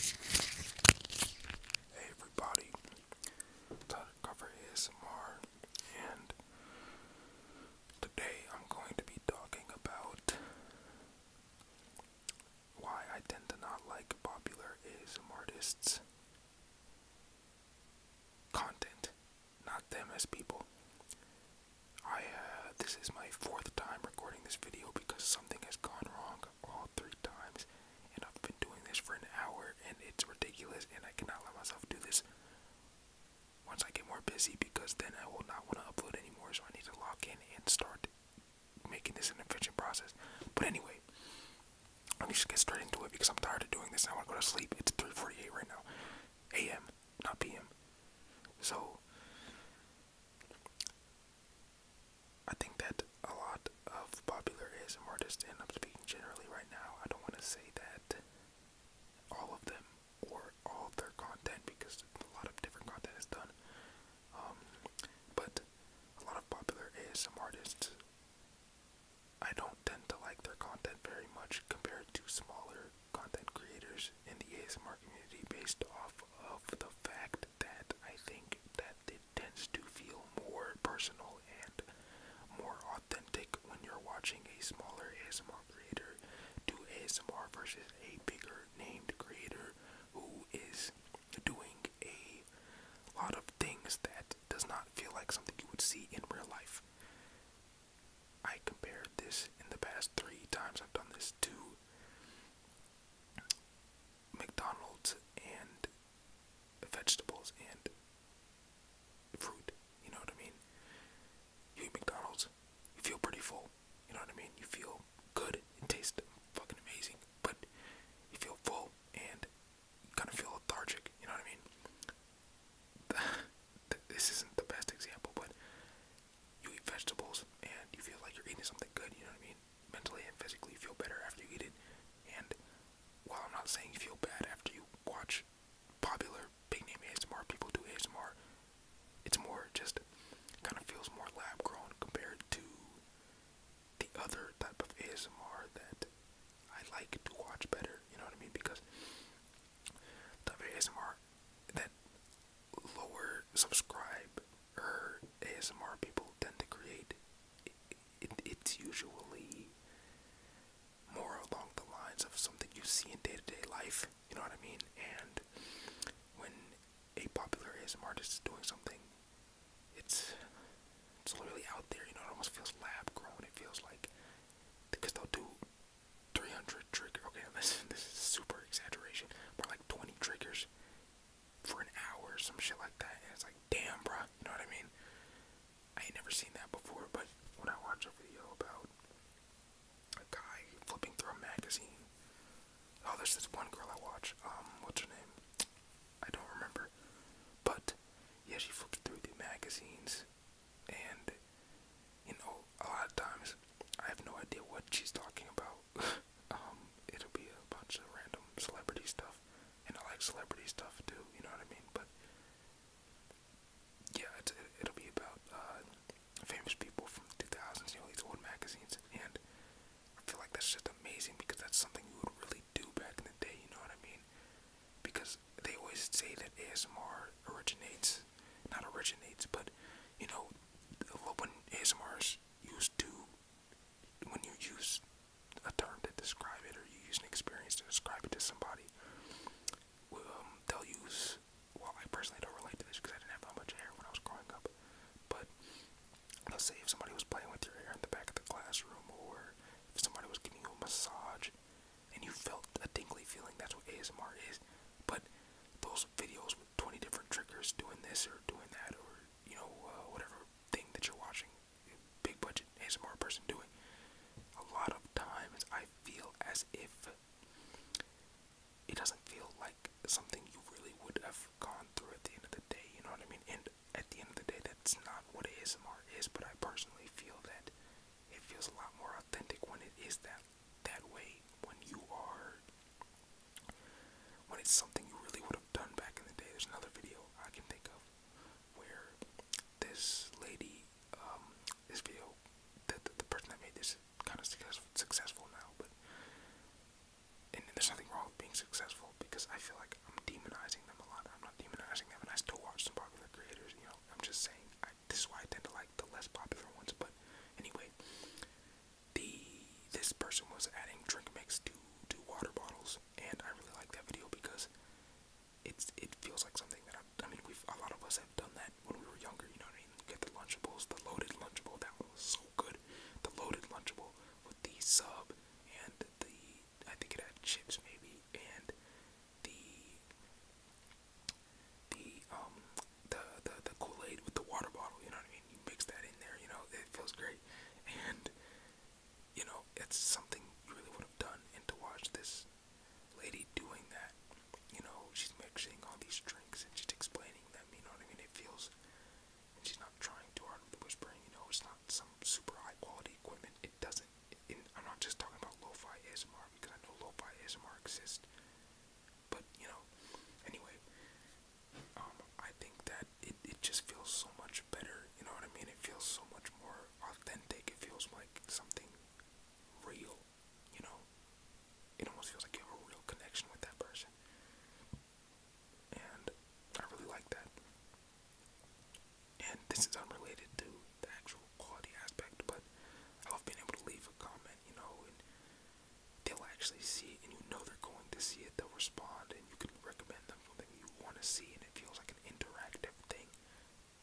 Hey everybody, time to cover ASMR, and today I'm going to be talking about why I tend to not like popular ism artists' content not them as people. I uh, this is my fourth time recording this video because something has gone wrong all three times, and I've been doing this for an hour, and it's ridiculous, and I cannot let myself do this. Once I get more busy, because then I will not want to upload anymore, so I need to log in and start making this an efficient process. But anyway, let me just get straight into it because I'm tired of doing this. And I want to go to sleep. It's 3:48 right now, a.m not PM. So I think that a lot of popular ASM artists, and I'm speaking generally right now, I don't want to say that all of them or all of their content because a lot of different content is done. Um, but a lot of popular ASM artists, I don't tend to like their content very much compared to smaller content creators in the ASMR community based off of the fact that I think that it tends to feel more personal and more authentic when you're watching a smaller ASMR creator do ASMR versus a bigger named creator who is doing a lot of things that does not feel like something you would see in real life. I compared this in the past three times I've done this to McDonald's and vegetables and fruit. You know what I mean? You eat McDonald's, you feel pretty full. You know what I mean? You feel good. It tastes fucking amazing. But you feel full and kind of feel lethargic. You know what I mean? this isn't the best example, but you eat vegetables and you feel like you're eating something good. You know what I mean? Mentally and physically, you feel better after you eat it. And while I'm not saying you feel bad after you watch popular big name ASMR people do ASMR, it's more just it kind of feels more lab grown compared to the other type of ASMR that I like to watch better, you know what I mean? Because the ASMR that lower subscribe or er ASMR people tend to create, it's usually more along the lines of something you see in day to -day life, you know what I mean? And when a popular ASMR artist is doing something, it's it's literally out there, you know, it almost feels lab grown. It feels like because they'll do 300 triggers. Okay, this, this is super exaggeration, but like 20 triggers for an hour, or some shit like that. And it's like, damn, bro, you know what I mean? I ain't never seen that before, but when I watch a video about a guy flipping through a magazine, oh, there's this one girl I watch. Um, what's her name? I don't remember. But yeah, she flipped through the magazines, and you know, a lot of times I have no idea what she's talking about. um, it'll be a bunch of random celebrity stuff, and I like celebrity stuff too. You know what I mean? But yeah, it's, it'll be about uh, famous people from the 2000s, you know, these old magazines, and I feel like that's just amazing because that's something you would really do back in the day, you know what I mean? Because they always say that ASMR originates, not originates, but you know, when ASMR is used to, when you use a term to describe it or you use an experience to describe it to somebody, um, they'll use, well, I personally don't relate to this because I didn't have that much hair when I was growing up, but Let's say if somebody was playing with your hair in the back of the classroom, or if somebody was giving you a massage, and you felt a tingly feeling. That's what ASMR is. But those videos with 20 different triggers doing this or doing that, or you know, uh, whatever thing that you're watching, big budget ASMR person doing, a lot of times I feel as if it doesn't feel like something you really would have gone through at the end of the day. You know what I mean? And at the end of the day, that's not what ASMR is, but I personally feel that it feels a lot more authentic when it is that that way, when you are when it's something you really would have done back in the day. There's another video I can think of where this lady, um, this video, that the, person that made this kind of successful now, but and there's nothing wrong with being successful because I feel like I'm demonizing them a lot. I'm not demonizing them, and I still watch some popular creators. You know, I'm just saying this is why I tend to like the less popular ones. But anyway, the this person was adding drink mix to to water bottles, and I really like that video because it's it feels like something that I, mean we a lot of us have done that when we were younger. You know what I mean? Get the Lunchables, the loaded Lunchable. That was so so good. The loaded lunchable with the sub and the I think it had chips maybe and the the um the the, the Kool-Aid with the water bottle, you know what I mean? You mix that in there, you know, it feels great. And you know, it's something you really would have done and to watch this lady doing that, you know, she's mixing all these drinks and she's explaining them, you know what I mean? It feels else. And she's not trying too hard with whispering, you know, it's not some super high quality equipment. It doesn't, it, it, I'm not just talking about lo-fi ASMR because I know lo-fi ASMR exists. But, you know, anyway, um, I think that it, it just feels so much better, you know what I mean? It feels so much more authentic. It feels like something real you know, it almost feels like you have a real connection with that person. And I really like that. And this is unrelated to the actual quality aspect, but I love being able to leave a comment, you know, they'll actually see it, and you know they're going to see it, they'll respond, and you can recommend them something you want to see, and it feels like an interactive thing,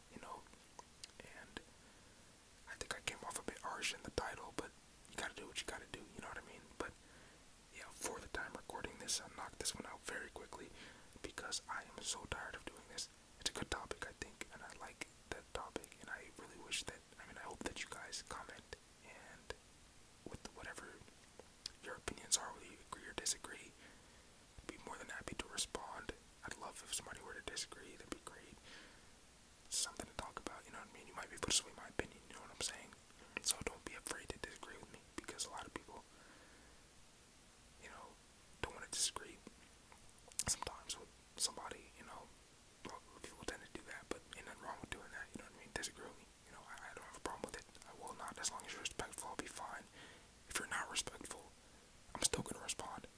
you know. And I think I came off a bit harsh in the title, but you gotta do what you gotta do, you know what I mean? But yeah, for the time recording this, i knocked this one out very quickly because I am so tired of doing this. It's a good topic, I think, and I like that topic, and I really wish that, I mean, I hope that you guys comment and with whatever your opinions are, whether you agree or disagree, I'd be more than happy to respond. I'd love if somebody were to disagree, that'd be great something to talk about, you know what I mean? You might be able to sway my opinion, you know what I'm saying? So don't be afraid to disagree with me because a lot of people, you know, don't want to disagree sometimes with somebody, you know. People tend to do that, but ain't nothing wrong with doing that, you know what I mean? Disagree with me, you know, I, I don't have a problem with it. I will not, as long as you're respectful, I'll be fine. If you're not respectful, I'm still gonna respond.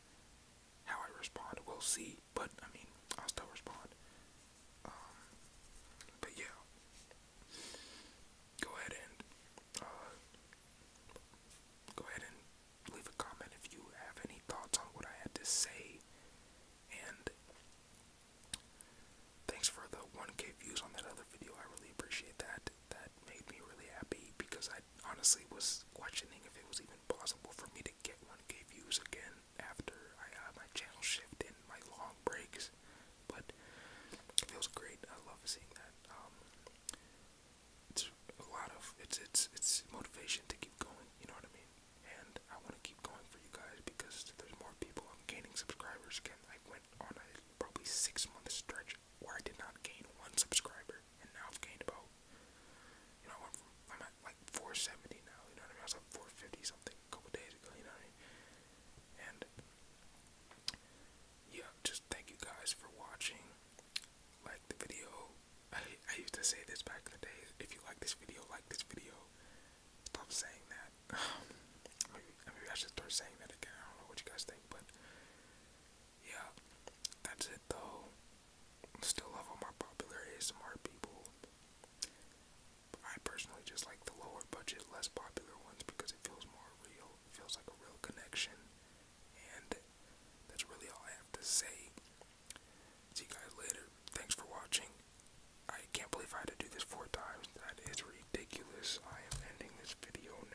How I respond, we'll see but I mean, I'll still respond. Um, but yeah, go ahead and uh, go ahead and leave a comment if you have any thoughts on what I had to say. And thanks for the 1K views on that other video. I really appreciate that. That made me really happy because I honestly was questioning if it was even impossible for me to get 1k views again after I uh, my channel shift and my long breaks, but it feels great. I love seeing that. Um, it's a lot of it's it's it's motivation to keep going. You know what I mean? And I want to keep going for you guys because there's more people. I'm gaining subscribers again. I went on a probably six month stretch where I did not gain one subscriber and now I've gained about, you know, I went I'm at like 470 now, you know what I mean? I was at 450 something a couple days ago, you know what I mean? And, yeah, just thank you guys for watching. Like the video. I, I used to say this back in the day if you like this video, like this video. Stop saying that. maybe I should start saying that again. I don't know what you guys think, but yeah, that's it though. Still love all more popular ASMR people. I personally just like the lower budget, less popular ones because it feels more real. It feels like a real connection. And that's really all I have to say. See you guys later. Thanks for watching. I can't believe I had to do this four times. That is ridiculous. I am ending this video now.